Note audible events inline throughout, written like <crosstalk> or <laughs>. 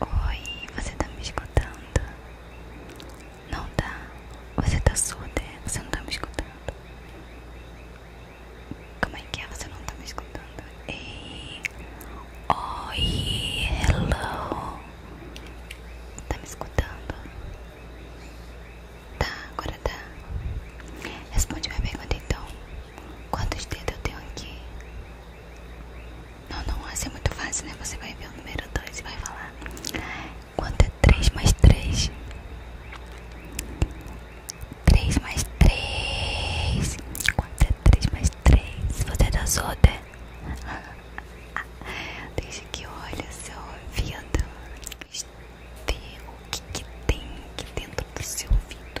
Oi, você tá me escutando? Não tá? Você tá surda? É? Você não tá me escutando? Como é que é? Você não tá me escutando? Ei, oi, hello. Tá me escutando? Tá, agora tá. Responde minha pergunta então. Quantos dedos eu tenho aqui? Não, não vai ser é muito fácil, né? Você vai ver o número 2 e vai falar Quanto é 3 mais 3? 3 mais 3 Quanto é 3 mais 3? Você é da Zoda? <laughs> Deixa que olha seu ouvido Vê o que, que tem aqui dentro do seu ouvido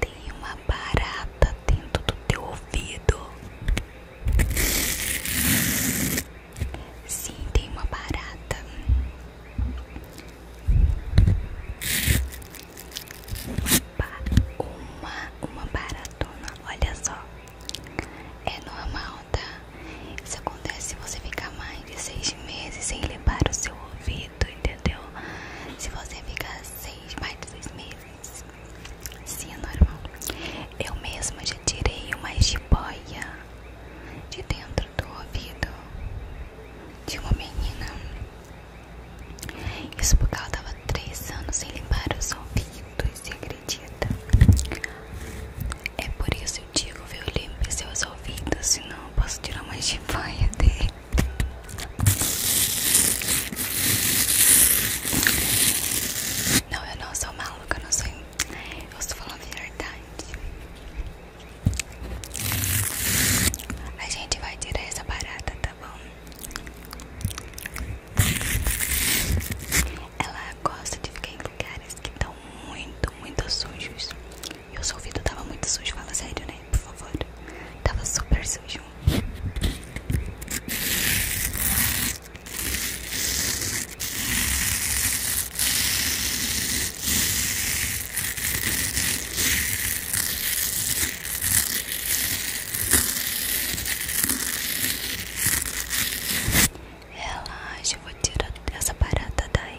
Tem uma barata dentro do teu ouvido. Sim, tem uma barata. Uma, uma baratona, olha só. É normal, tá? Isso acontece se você ficar mais de seis meses sem limpar o seu ouvido, entendeu? Se você ficar seis, mais de seis meses sim, é normal. Eu mesma já tirei uma jiboia de dentro do ouvido de uma menina. Isso porque ela tava três anos sem limpar os ouvidos, se acredita? É por isso que eu digo, viu? Limpe seus ouvidos, senão eu posso tirar uma jiboia dele. Não, eu não sou maluca, eu não sou. Eu estou falando de verdade. A gente vai tirar essa barata, tá bom? Ela gosta de ficar em lugares que estão muito, muito sujos. E o seu ouvido tava muito sujo, fala sério, né? por favor. Tava super sujo. Relaxa, vou tirar essa barata daí.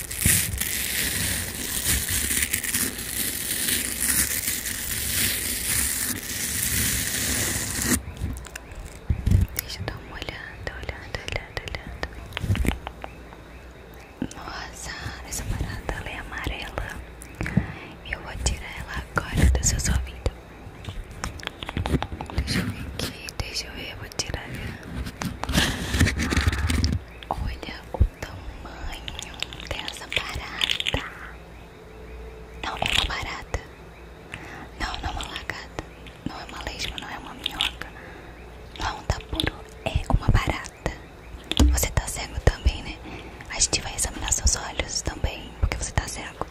Deixa eu dar uma olhada, olhando olhando olhando Nossa, essa parada ela é amarela. Eu vou tirar ela agora do seu ouvido. Deixa eu ver aqui, deixa eu ver tirar. Olha o tamanho dessa barata. Não é uma barata. Não, não é uma lagarta. Não é uma lesma, não é uma minhoca. Não é um tapuru, é uma barata. Você tá cego também, né? A gente vai examinar seus olhos também, porque você tá cego.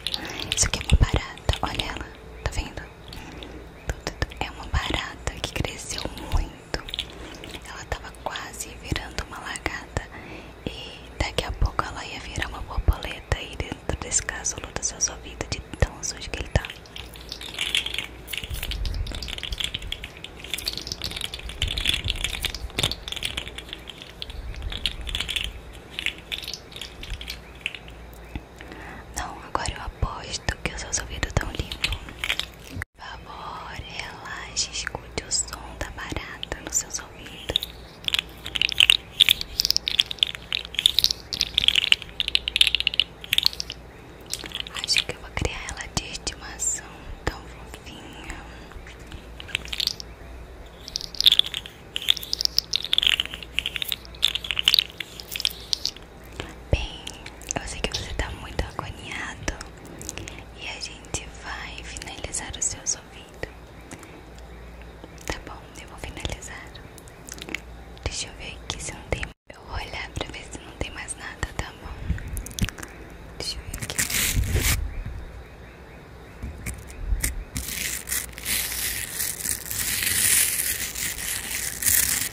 Isso aqui é uma barata. Olha ela, tá vendo? É uma barata que cresceu muito. Ela tava quase virando uma lagarta e daqui a pouco ela ia virar uma borboleta e dentro desse caso luta sua vida de tão sujo que ele tá. Não, agora eu aposto que os seus ouvidos estão limpos. Por favor, relaxe, escute o som da barata nos seus ouvidos. Acho que eu vou criar ela de estimação tão fofinha. Bem, eu sei que você tá muito agoniado e a gente vai finalizar os seus ouvidos. Tá bom, eu vou finalizar. Deixa eu ver aqui se não tem. Eu vou olhar pra ver se não tem mais nada, tá bom? Deixa eu ver aqui.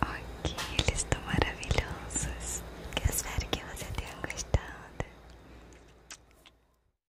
Ok, eles estão maravilhosos. Quero espero que você tenha gostado.